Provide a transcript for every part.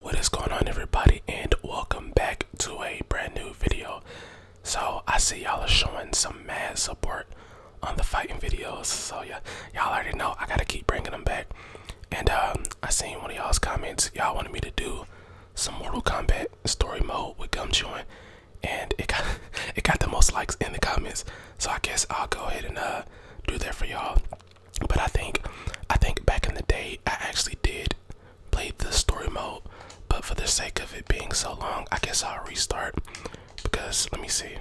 What is going on everybody and welcome back to a brand new video. So I see y'all are showing some mad support on the fighting videos. So yeah, y'all already know I gotta keep bringing them back. And um, I seen one of y'all's comments. Y'all wanted me to do some Mortal Kombat story mode with gum chewing, and it got it got the most likes in the comments. So I guess I'll go ahead and uh, do that for y'all. But I think I think back in the day I actually did play the story mode, but for the sake of it being so long, I guess I'll restart because let me see.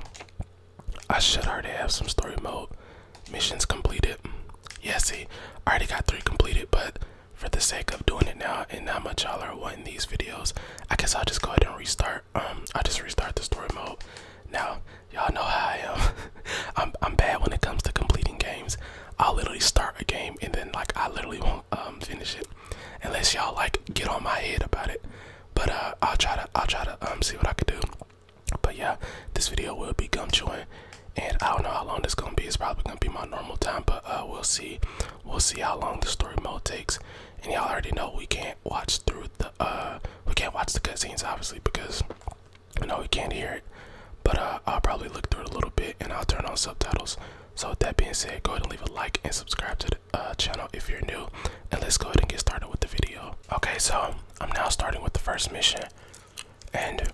I should already have some story mode missions completed. Yeah, see, I already got three completed, but for the sake of doing it now and how much y'all are wanting these videos, I guess I'll just go ahead and restart. Um, I'll just restart the story mode. Now, y'all know how I am. I'm I'm bad when it comes to completing games. I'll literally start a game and then like I literally won't um finish it unless y'all like get on my head about it. But uh I'll try to I'll try to um see what I can do. But yeah, this video will be gum chewing and I don't know how long this gonna be. It's probably gonna be my normal time, but uh we'll see. We'll see how long the story mode takes. And y'all already know we can't watch through the uh we can't watch the cutscenes obviously because I know you can't hear it, but uh, I'll probably look through it a little bit and I'll turn on subtitles. So with that being said, go ahead and leave a like and subscribe to the uh, channel if you're new. And let's go ahead and get started with the video. Okay, so I'm now starting with the first mission. And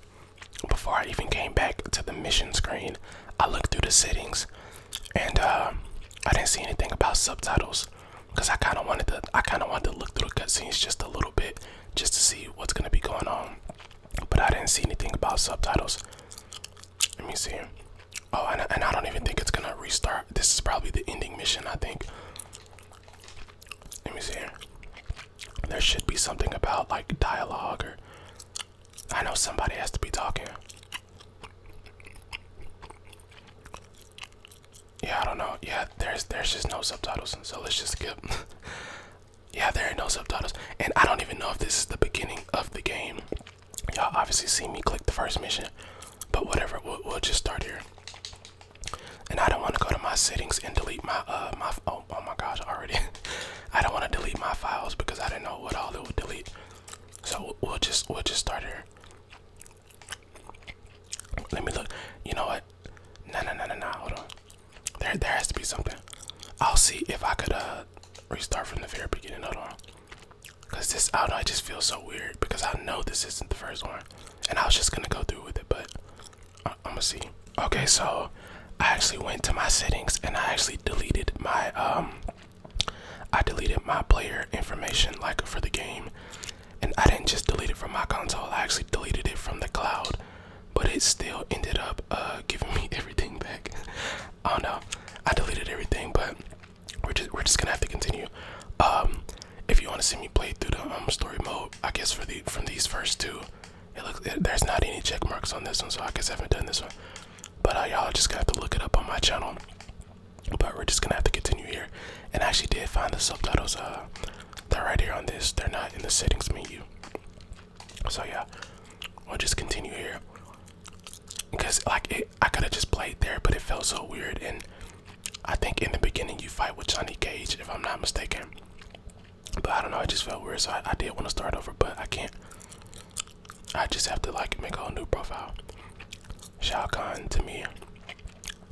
before I even came back to the mission screen, I looked through the settings and uh, I didn't see anything about subtitles because I kind of wanted to I kind of wanted to look through the cutscenes just a little bit just to see what's gonna be going on. But I didn't see anything about subtitles. Let me see. Oh, and, and I don't even think it's gonna restart. This is probably the ending mission, I think. Let me see. There should be something about like dialogue or. I know somebody has to be talking. Yeah, I don't know. Yeah, there's there's just no subtitles, so let's just skip. Yeah, there are no subtitles. And I don't even know if this is the beginning of the game. Y'all obviously see me click the first mission, but whatever, we'll, just start here. And I don't want to go to my settings and delete my, uh, my, oh, oh my gosh, already. I don't want to delete my files because I do not know what all it would delete. So we'll just, we'll just start here. Let me look. You know what? No, no, no, no, no. Hold on. There, there has to be something. I'll see if I could uh restart from the very beginning. Hold on, cause this I don't know. It just feels so weird because I know this isn't the first one, and I was just gonna go through with it, but uh, I'm gonna see. Okay, so I actually went to my settings and I actually deleted my um I deleted my player information like for the game, and I didn't just delete it from my console. I actually deleted it from the cloud but it still ended up uh, giving me everything back. Oh no, I deleted everything, but we're just we're just gonna have to continue. Um, if you want to see me play through the um, story mode, I guess for the from these first two, it looks there's not any check marks on this one, so I guess I haven't done this one. But uh, y'all just got to have to look it up on my channel. But we're just gonna have to continue here. And I actually did find the subtitles. Uh, they're right here on this. They're not in the settings menu. So yeah, we'll just continue here. Because like it, I could have just played there, but it felt so weird. And I think in the beginning you fight with Johnny Cage, if I'm not mistaken. But I don't know, it just felt weird. So I, did want to start over, but I can't. I just have to like make a whole new profile. Shao Kahn to me.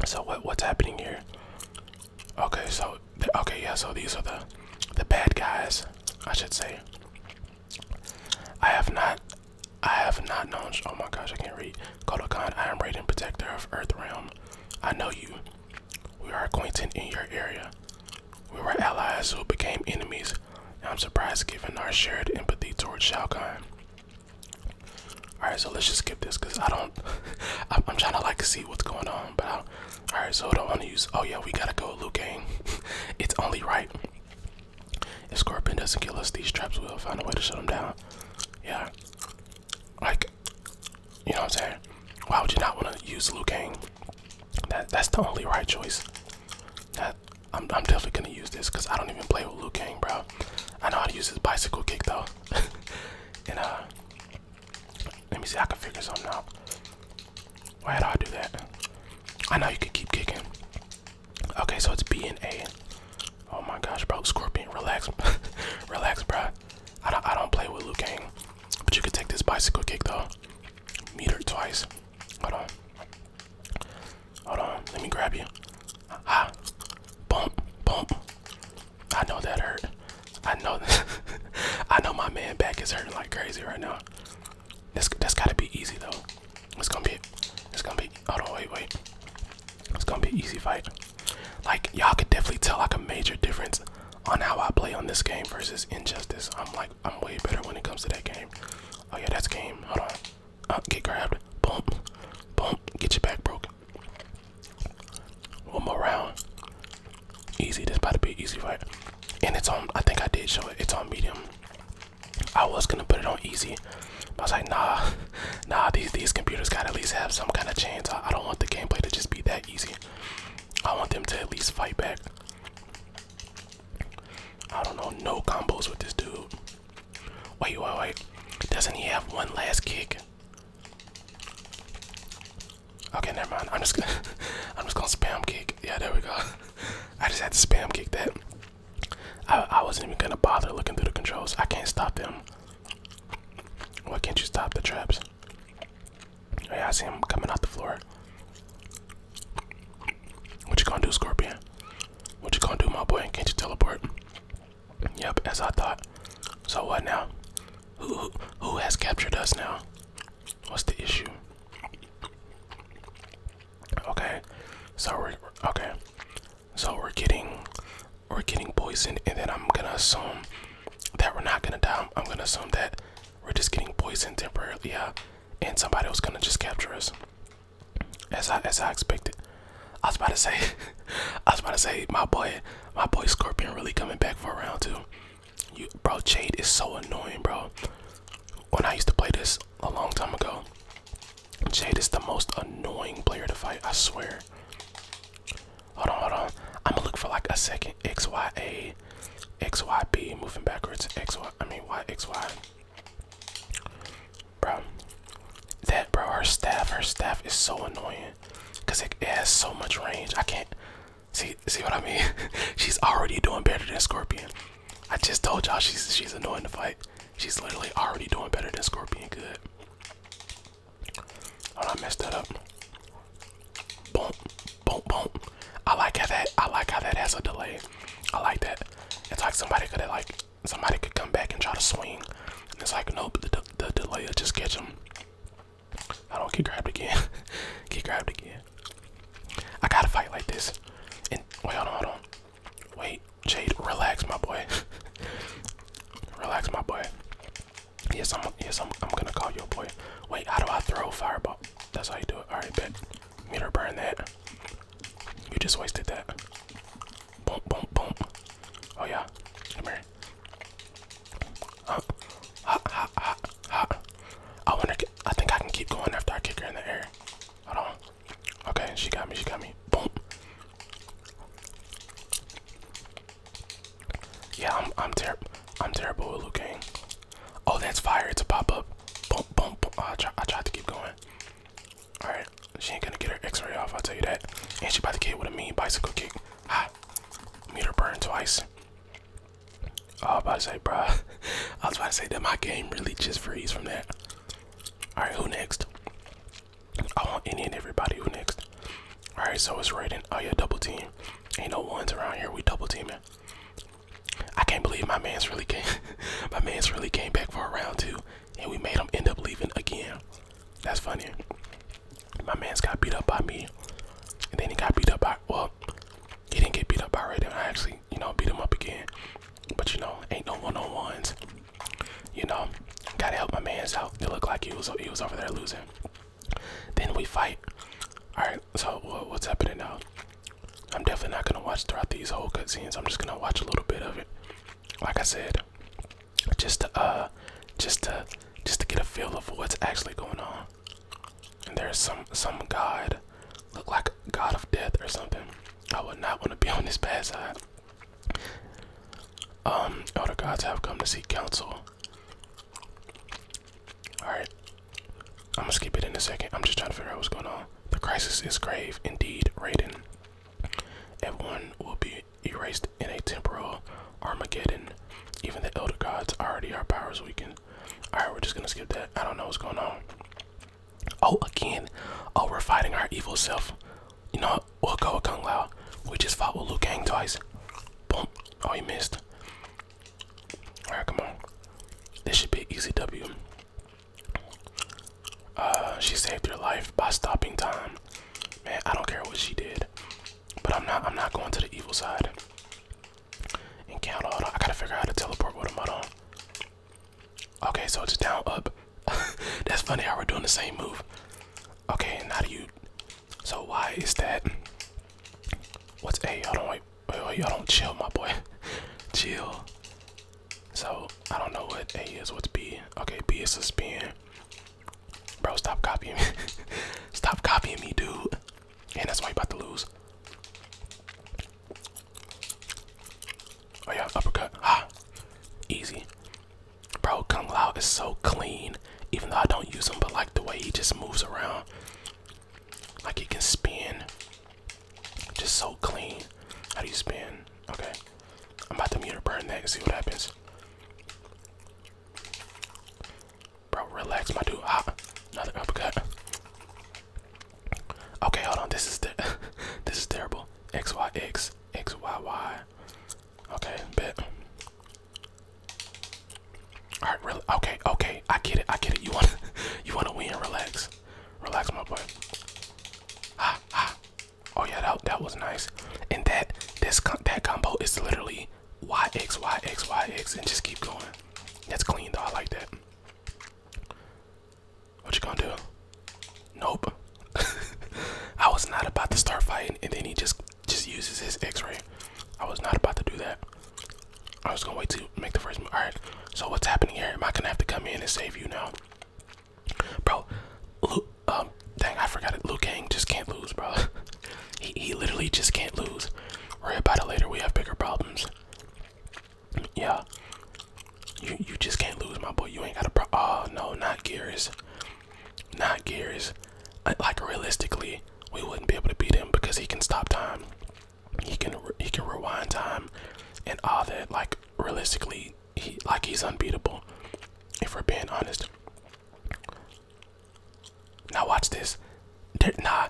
So what what's happening here? Okay, so okay, yeah, so these are the the bad guys, I should say. I have not I have not known oh my gosh, I can't read. Kodokan, I am Raiden, protector of Earthrealm. I know you. We are acquainted in your area. We were allies who became enemies. I'm surprised given our shared empathy towards Shao Kahn. Alright, so let's just skip this because I don't. I'm trying to like see see what's going on. But I'll, right, so don't want to use. Oh yeah, we gotta go, Liu it's only right. If Scorpion doesn't kill us, these traps will find a way to shut them down. Yeah, like you know what I'm saying. Why would you not want to use Liu That that's the only right choice. That I'm definitely gonna use this because I don't even play with Liu bro. I know how to use his bicycle kick though. and uh let me see. I can figure something out. Why do I do that? I know you could keep kicking. Okay, so it's B and A. Oh my gosh, bro, Scorpion, relax, relax, bro. I don't, I don't play with Liu Kang, but you could take this bicycle kick though. Meter twice. Hold on. Hold on. Let me grab you. Ha. Bump, bump. I know that hurt. I know that I know my man back is hurting like crazy right now. This that gotta be easy though. It's gonna be it's gonna be hold on wait wait. It's gonna be easy fight. Like y'all could definitely tell like a major difference on how I play on this game versus Injustice. I'm like I'm way better when it comes to that game. Oh yeah, that's game. Hold on. Uh, get grabbed. Boom. Boom. Get your back broke. One more round. Easy. This about to be easy fight. And it's on. I think I did show it. It's on medium. I was gonna put it on easy. I was like, nah, nah. These these computers gotta at least have some kind of chance. I, I don't want the gameplay to just be that easy. I want them to at least fight back. I don't know. No combos with this dude. Wait, wait, wait. Doesn't he have one last kick? Okay, never mind. I'm just gonna I'm just gonna spam kick. Yeah, there we go. I just had to spam kick that. I I wasn't even gonna bother looking through the controls. I can't stop them. Why can't you stop the traps? Oh, yeah, I see him coming out the floor. What you gonna do, Scorpion? What you gonna do, my boy? Can't you teleport? Yep, as I thought. So what now? Who who, has captured us now? What's the issue? Okay, so we're okay. So we're getting we're getting poisoned, and then I'm gonna assume that we're not gonna die. I'm gonna assume that we're just getting poisoned temporarily, yeah, and somebody was gonna just capture us. As I as I expected. I was about to say I was about to say my boy my boy Scorpion really coming back for a round two. bro, Jade is so annoying, bro. When I used to play this a long time ago, Jade is the most annoying player to fight. I swear. Hold on, hold on. I'm gonna look for like a second. X Y A, X Y B, moving backwards. X Y. I mean Y X Y. Bro, that bro, her staff, her staff is so annoying because it, has so much range. I can't see see what I mean. she's already doing better than Scorpion. I just told y'all she's she's annoying to fight. She's literally already doing better than Scorpion. Good. Oh, I messed that up. Boom, boom, boom. I like how that. I like how that has a delay. I like that. It's like somebody could have like somebody could come back and try to swing. And it's like nope, the, the delay will just catch him. I don't get grabbed again. get grabbed again. I gotta fight like this. And wait, hold on, hold on. Wait, Jade, relax, my boy. relax, my boy. Yes, I'm. Yes, I'm. I'm gonna call your boy. Wait, how do I throw fireball? That's how you do it. All right, bet. Meter burn that. You just wasted that. Boom, boom, boom. Oh yeah. Come here. Ha, ha, ha, ha. I wonder. I think I can keep going after I kick her in the air. Hold on. Okay, she got me. She got me. Boom. Yeah, I'm. I'm terrible. I'm terrible with Liu Oh, that's fire! It's a pop up. Boom, boom, boom. Oh, I, try, I tried to keep going. All right, she ain't gonna get her X-ray off. I'll tell you that. And she about to get with a mean bicycle kick. Ah, meter burn twice. Oh, I was about to say, bro. I was about to say that my game really just freeze from that. Alright, who next? I want any everybody who next. Alright, so it's rating. Oh yeah, double team. Ain't no ones around here. We double team teaming. I can't believe my man's really came my man's really came back for a round two and we made him end up leaving again. That's funny my man's got beat up by me, and then he got beat up by well, he didn't get beat up by Raiden. I actually, you know, beat him up again. But you know, ain't no one-on-ones. You know, gotta help my man out. It looked like he was he was over there losing. Then we fight. All right, so what's happening now? I'm definitely not gonna watch throughout these whole cutscenes. I'm just gonna watch a little bit of it. Like I said, just to uh, just to just to get a feel of what's actually going on and there's some some god look like god of death or something i would not want to be on this bad side um other gods have come to seek counsel all right i'm gonna skip it in a second i'm just trying to figure out what's going on the crisis is grave indeed raiden everyone will be erased in a temporal Armageddon. Even the elder gods already our powers weaken. Alright, we're just gonna skip that. I don't know what's going on. Oh, again. Oh, we're fighting our evil self. You know what? We'll go with Kung Lao. We just fought with Liu Kang twice. Oh, he missed. Alright, come on. This should be easy W. Uh, she saved her life by stopping time. Man, I don't care what she did. But I'm not I'm not going to the evil side. And count I gotta figure out how to teleport with him. Hold Okay, so it's down up. That's funny how we're doing the same move. Okay, and how do you so why is that? What's A? Hey, hold on, wait, wait, wait, y'all don't chill, my boy. chill. So I don't know what A is, what's B. Okay, B is suspend. Bro, stop copying me. stop copying me, dude. And that's why you about to lose. Oh yeah, uppercut. Ah, easy. Bro, Kung Lao is so clean. Even though I don't use him, but like the way he just moves around, like he can spin. Just so clean. How do you spin? Okay. I'm about to meter burn and see what happens. Bro, relax, my dude. Ah, another uppercut. Okay, hold on. This is the this is terrible. X Y X X Y Y. Okay, bet. All right, really. Okay, okay. I get it. I get it. You want you want to win? Relax, relax, my boy. Ah, ah. Oh yeah, that that was nice. And that this that combo is literally YX, YX, YX, and just keep going. That's clean though. I like that. What you gonna do? Nope. I was not about to start fighting, and then he just just uses his X-ray. I was not about to do that. I was gonna wait to make the first move. All right. So what's happening here? Am I gonna have to come in and save you now, bro? Lu um, dang, I forgot it. Liu Kang just can't lose, bro. he he literally just can't lose. Worry about it later. We have bigger problems. Yeah. You you just can't lose, my boy. You ain't got a pro. Oh no, not Gears. Not Gears. Like realistically, we wouldn't be able to beat him because he can stop time. He can he can rewind time, and all that. Like realistically, he like he's unbeatable. If we're being honest, now watch this. nah,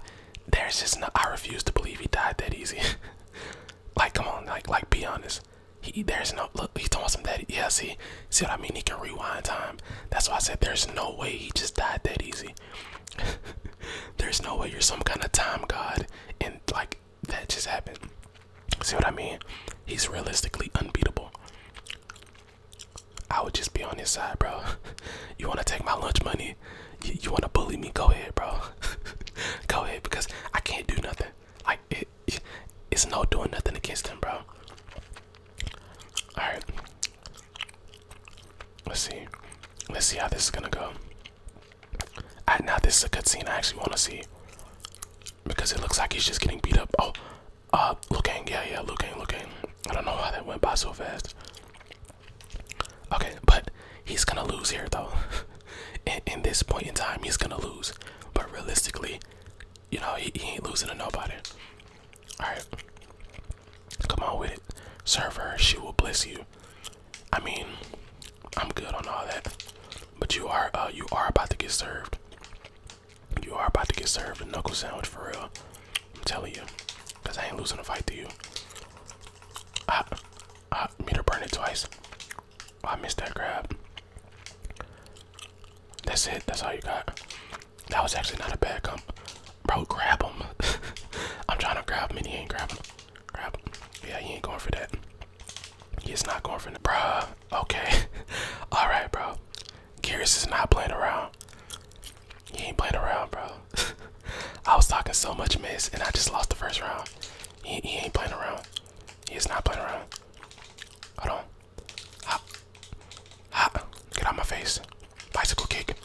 there's just no, I refuse to believe he died that easy. like, come on, like, like, be honest. He, there's no look. He's talking some that. Yes, he. see what I mean. He can rewind time. That's why I said there's no way he just died that easy. there's no way you're some kind of time god, and like that just happened. See what I mean? He's realistically unbeatable. I would just be on his side, bro. you wanna take my lunch money? You, wanna bully me? Go ahead, bro. Go ahead, because I can't do nothing. Like it's no doing nothing against him, bro. All right. Let's see. Let's see how this is gonna go. I, now this is a scene. I actually want to see because it looks like he's just getting beat up. Oh, uh, looking, yeah, yeah, looking, looking. I don't know why that went by so fast. Okay, but he's gonna lose here though. in, in this point in time, he's gonna lose. But realistically, you know, he, he ain't losing to nobody. Alright. Come on with it. Serve her, she will bless you. I mean, I'm good on all that. But you are uh you are about to get served. You are about to get served a knuckle sandwich for real. I'm telling you. Because I ain't losing the fight to you. I, I made her burn it twice. Oh, I missed that grab. That's it. That's all you got. That was actually not a bad come, Bro, grab him. I'm trying to grab him he ain't grabbing him. Grab him. Yeah, he ain't going for that. He's not going for that. Bruh, Okay. Alright, bro. Curious is not playing around. He ain't playing around, bro. I was talking so much miss and I just lost the first round. He, he ain't playing around. He is not playing around. Hold on. Hop. Hop. Get out my face. Bicycle kick.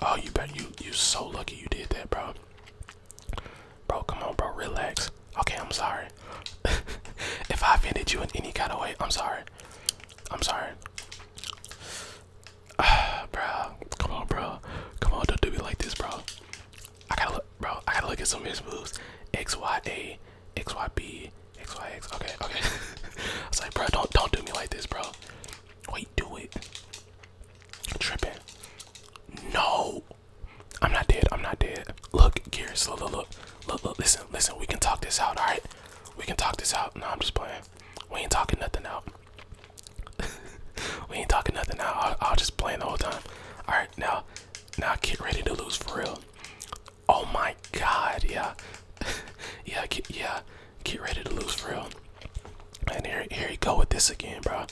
Oh, you bet you you so lucky you did that, bro. Bro, come on, bro. Relax. Okay, I'm sorry. if I offended you in any kind of way, I'm sorry. I'm sorry. bro, come on, bro. Come on, don't do me like this, bro. I gotta look, bro. I gotta look at some of his moves. X Y A, X Y B, X Y X. Okay, okay. I was like, bro, don't don't do me like this, bro. Wait, do it. Tripping. No, I'm not dead. I'm not dead. Look, Gears. Look, look, look. Look, look, listen, listen. We can talk this out, all right? We can talk this out. No, I'm just playing. We ain't talking nothing out. we ain't talking nothing out. I'll, just play the whole time. All right, now, now get ready to lose for real. Oh my God, yeah, yeah, get, yeah. Get ready to lose for real. And here, here you go with this again, bro.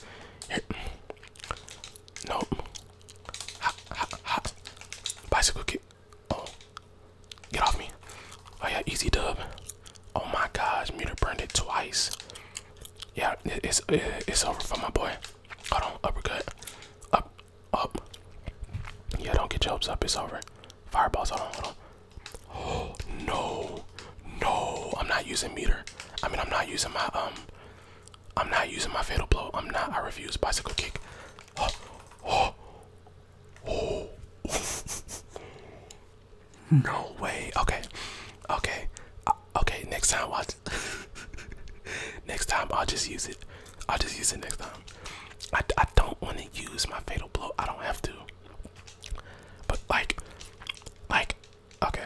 Nope. Ha, ha, ha. Bicycle kick. Oh, get off me. Oh yeah, easy dub. Oh my gosh, meter burned it twice. Yeah, it's it's over for my boy. Hold on, uppercut. Up, up. Yeah, don't get your hopes up. It's over. Fireballs. Hold on, hold on. Oh no, no. I'm not using meter. I mean, I'm not using my um I'm not using my fatal blow. I'm not. I refuse. Bicycle kick. Oh, no way. Okay, okay, uh, okay. Next time, watch. next time, I'll just use it. I'll just use it next time. I, I don't want to use my fatal blow. I don't have to. But like, like, okay,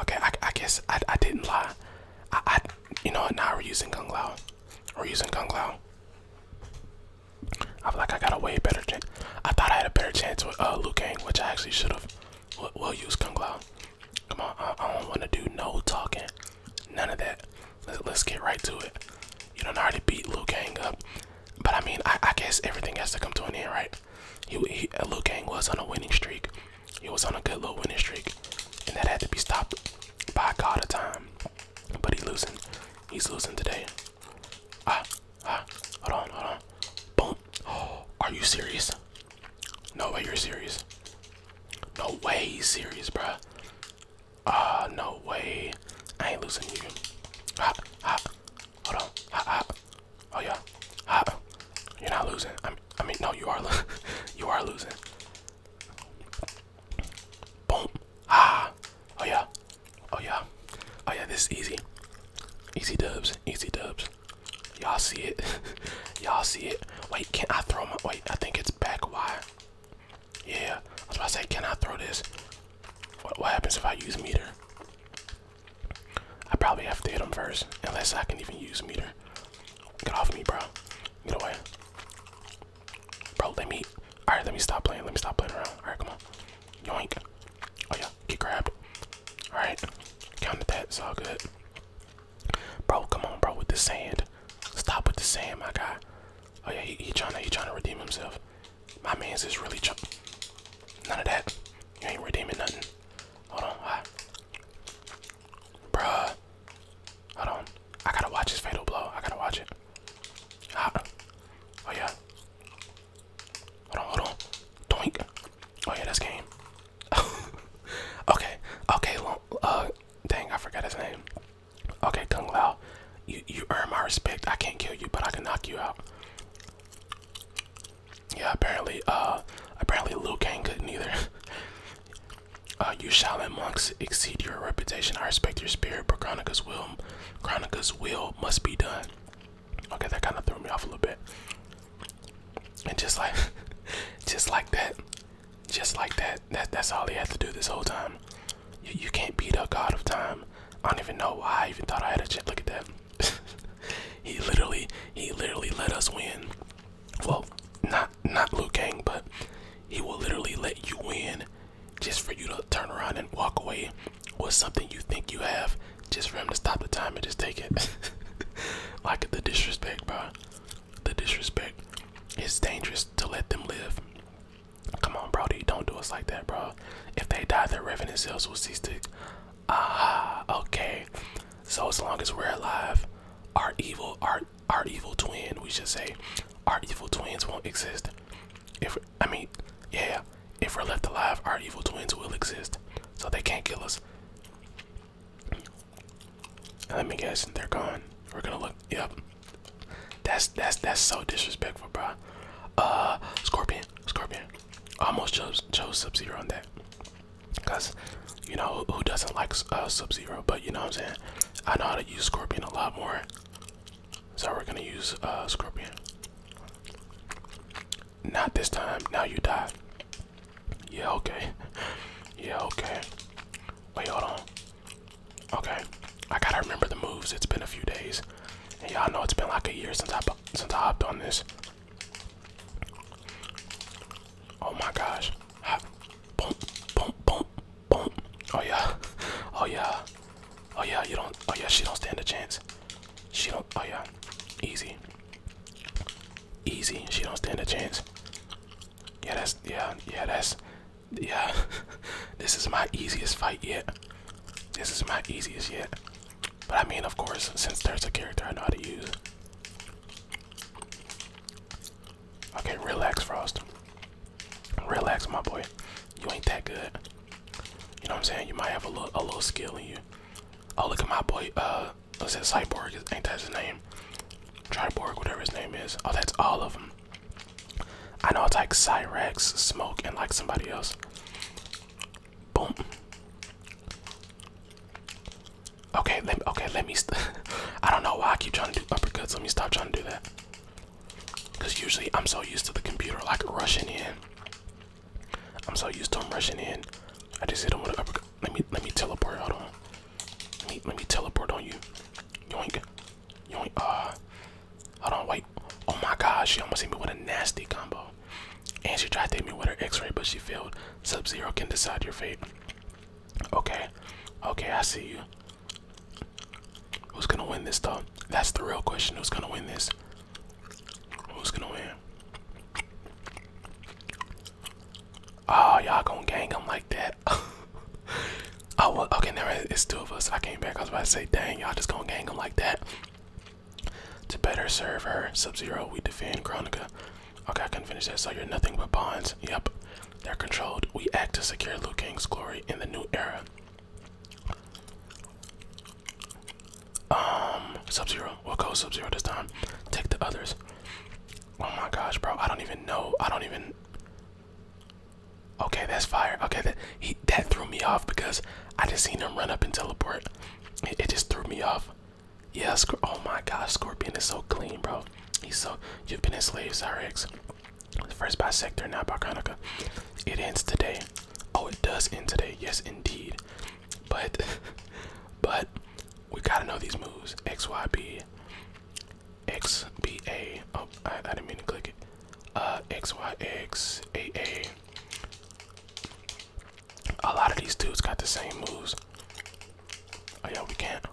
okay. I, I guess I, I didn't lie. I, I you know what? Now we're using Kung Lao or using Kung Lao. I feel like I got a way better I thought I had a better chance with uh, Liu Kang, which I actually should have. We'll, use Kung Lao. Come on, I, don't want to do no talking. None of that. Let's, get right to it. You don't already beat Liu Kang up. But I mean, I, guess everything has to come to an end, right? He, Liu Kang was on a winning streak. He was on a good little winning streak, and that had to be stopped by God of time. But he's losing. He's losing today. Ah, ah, hold on, hold on. Boom. are you serious? No way you're serious. No way serious, bruh. Ah, no way. I ain't losing you. Ah, ah, hold on. Ah, ah. Oh, yeah. Ah, you're not losing. I'm, I mean, no, you are, you are losing. Boom. Ah. Oh yeah. Oh yeah. Oh yeah. This is easy. Easy dubs. Easy dubs. Y'all see it. Y'all see it. Wait, can I throw my wait, I think it's back wire. Yeah. I was about to say, can I throw this? What, what happens if I use meter? I probably have to hit him first. Unless I can even use meter. Get off me, bro. Get away. Bro, let me. Alright, let me stop playing. Let me stop playing around. Alright, come on. Yoink. Oh, yeah. Get grabbed. Alright. Counted that. It's all good. Bro, come on, bro, with the sand. Stop with the sand, my guy. Oh, yeah. He, trying, to, he trying to redeem himself. My man's is really. chump. None of that. You ain't redeeming nothing. Hold on. Bruh. Hold on. I gotta watch his fatal blow. I gotta watch it. Ah. Oh yeah. Hold on, hold on. Doink. Oh yeah, that's game. okay. Okay, uh dang, I forgot his name. Okay, Kung Lao. You you earn my respect. I can't kill you, but I can knock you out. Yeah, apparently, uh apparently Liu Kang couldn't either. Uh, you shall, Shaolin monks exceed your reputation. I respect your spirit, but Chronica's will, Chronica's will must be done. Okay, that kind of threw me off a little bit. And just like, just like that, just like that, that that's all he had to do this whole time. You, can't beat the god of time. I don't even know why I even thought I had a chance. Look at that. he literally, he literally let us win. Well, not not Liu Kang, but he will literally let you win just for you to turn around and walk away with something you think you have just for him to stop the time and just take it. like the disrespect, bro. The disrespect. It's dangerous to let them live. Come on, Brody. Don't do us like that, bro. If they die, their revenue sales will cease to. Ah, okay. So as long as we're alive, our evil, art our evil twin. We should say our evil twins won't exist. If I mean, yeah, if we're left alive, our evil twins will exist, so they can't kill us. Let me guess, they're gone. We're gonna look. Yep. That's that's that's so disrespectful, bro. Uh, Scorpion, Scorpion. Almost chose chose Sub Zero on that. Cause you know who doesn't like uh, Sub Zero, but you know what I'm saying. I know how to use Scorpion a lot more, so we're gonna use uh, Scorpion. Not this time. Now you die. Yeah. Okay. Yeah. Okay. Wait. Hold on. Okay. I gotta remember the moves. It's been a few days, and y'all know it's been like a year since I since I hopped on this. Oh my gosh. Boom, boom, boom, boom. Oh yeah. Oh yeah. Oh yeah, you don't. Oh yeah, she don't stand a chance. She don't. Oh yeah. Easy. Easy. She don't stand a chance. Yeah, that's. Yeah, yeah, that's. Yeah. this is my easiest fight yet. This is my easiest yet. But I mean, of course, since there's a character I know how to use. Okay, relax, Frost. Relax, my boy. You ain't that good. You know what I'm saying? You might have a little, a little skill in you. Oh, look at my boy. Uh, let's that? Cyborg? Ain't that his name? Triborg, whatever his name is. Oh, that's all of them. I know it's like Cyrex, Smoke, and like somebody else. Boom. Okay, let me, okay, let me. I don't know why I keep trying to do uppercuts. Let me stop trying to do that. Cause usually I'm so used to the computer like rushing in. I'm so used to him rushing in. I just hit him with an uppercut. Let me let me teleport. Hold on. Let me let me teleport on you. Yoink. Yoink. Uh. Hold on. Wait. Oh my God. She almost hit me with a nasty combo. And she tried to hit me with her X-ray, but she failed. Sub Zero can decide your fate. Okay, okay, I see you. Who's gonna win this though? That's the real question. Who's gonna win this? Who's gonna win? Oh, y'all gonna gang him like that? oh, well, okay, never. It's two of us. I came back. I was about to say, dang, y'all just gonna gang him like that. To better serve her, Sub Zero, we defend Chronica. Okay, I can finish that. So you're nothing but bonds. Yep. They're controlled. We act to secure Liu Kang's glory in the new era. Um, Sub-Zero. We'll go Sub-Zero this time. Take the others. Oh my gosh, bro. I don't even know. I don't even... Okay, that's fire. Okay, that, he, that threw me off because I just seen him run up and teleport. It, it just threw me off. Yes. oh my God. Scorpion is so clean, bro. He's so you've been enslaved, Cyrex. First by Sector, now by Chronica. It ends today. Oh, it does end today. Yes, indeed. But, but we gotta know these moves. X Y B, X B A. Oh, I, I didn't mean to click it. Uh, X Y X A A. A lot of these dudes got the same moves. Oh yeah, we can't.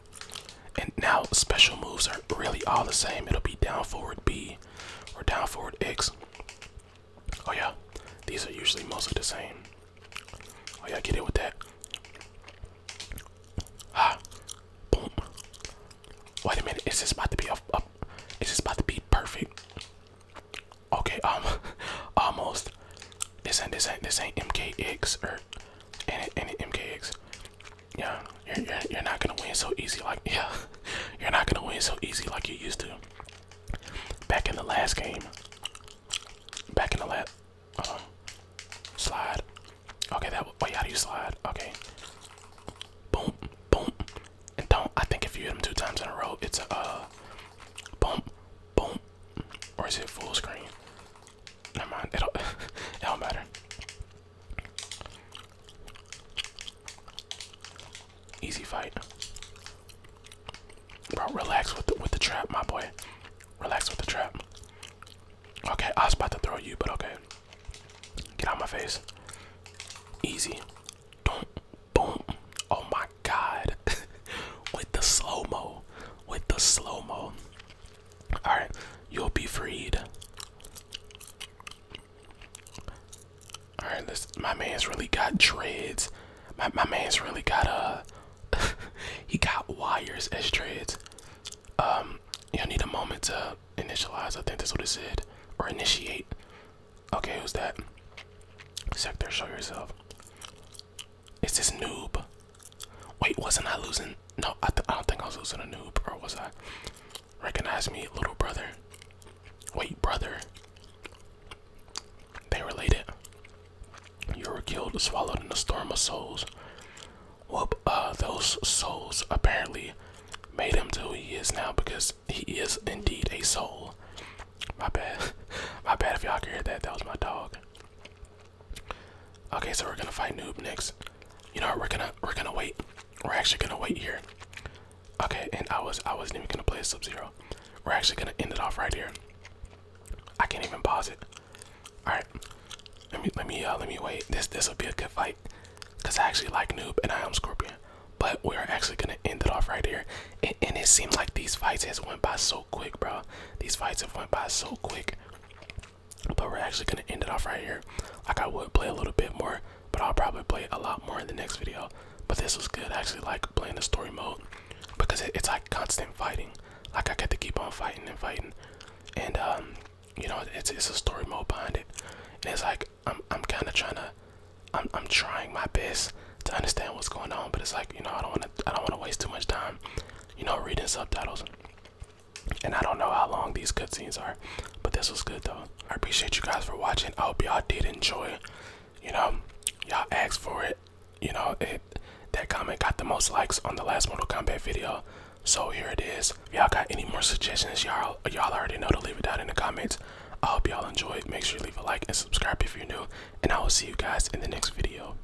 And now special moves are really all the same. It'll be down forward B or down forward X. Oh yeah, these are usually mostly the same. Oh yeah, get it with that. Ah, boom. Wait a minute, is this about to be a is this about to be perfect? Okay, um, almost. This ain't this ain't this ain't MKX or and, and MKX. Yeah, you're, you're, not gonna win so easy like yeah, you're not gonna win so easy like you used to. Back in the last game. Back in the last uh, slide. Okay, that wait. Oh, how do you slide? Okay. Boom, boom, and don't. I think if you hit them two times in a row, it's a uh, boom, boom, or is it full screen? Never mind. It don't, matter. Easy fight, bro. Relax with the, with the trap, my boy. Relax with the trap. Okay, I was about to throw you, but okay. Get out my face. Easy. Boom, boom. Oh my god. with the slow-mo. With the slow-mo. Alright, you'll be freed. Alright, this my man's really got dreads. My my man's really got uh, a he got wires as dreads. Um, you'll need a moment to initialize, I think that's what it said. Or initiate. Okay, who's that? Sector, show yourself. It's this noob? Wait, wasn't I losing? No, I, don't think I was losing a noob, or was I? Recognize me, little brother. Wait, brother. They related. You were killed, swallowed in a storm of souls. Whoop, uh, those souls apparently made him to who he is now because he is indeed a soul. My bad. My bad if y'all could hear that. That was my dog. Okay, so we're gonna fight noob next. You know we're gonna we're gonna wait. We're actually gonna wait here. Okay, and I was I wasn't even gonna play Sub Zero. We're actually gonna end it off right here. I can't even pause it. All right, let me let me uh, let me wait. This this will be a good fight, cause I actually like noob and I am Scorpion. But we are actually gonna end it off right here, and, it seemed like these fights has went by so quick, bro. These fights have went by so quick. But we're actually gonna end it off right here. Like I would play a little bit more, but I'll probably play a lot more in the next video. But this was good. I actually like playing the story mode because it's like constant fighting. Like I get to keep on fighting and fighting, and um, you know, it's it's a story mode behind it. And it's like I'm I'm kind of trying to, I'm I'm trying my best to understand what's going on, but it's like you know I don't want to I don't want to waste too much time you know, reading subtitles. And I don't know how long these scenes are, but this was good though. I appreciate you guys for watching. I hope y'all did enjoy. You know, y'all asked for it. You know, it that comment got the most likes on the last Mortal Kombat video. So here it is. Y'all got any more suggestions? Y'all y'all already know to leave it down in the comments. I hope y'all enjoyed. Make sure you leave a like and subscribe if you're new. And I will see you guys in the next video.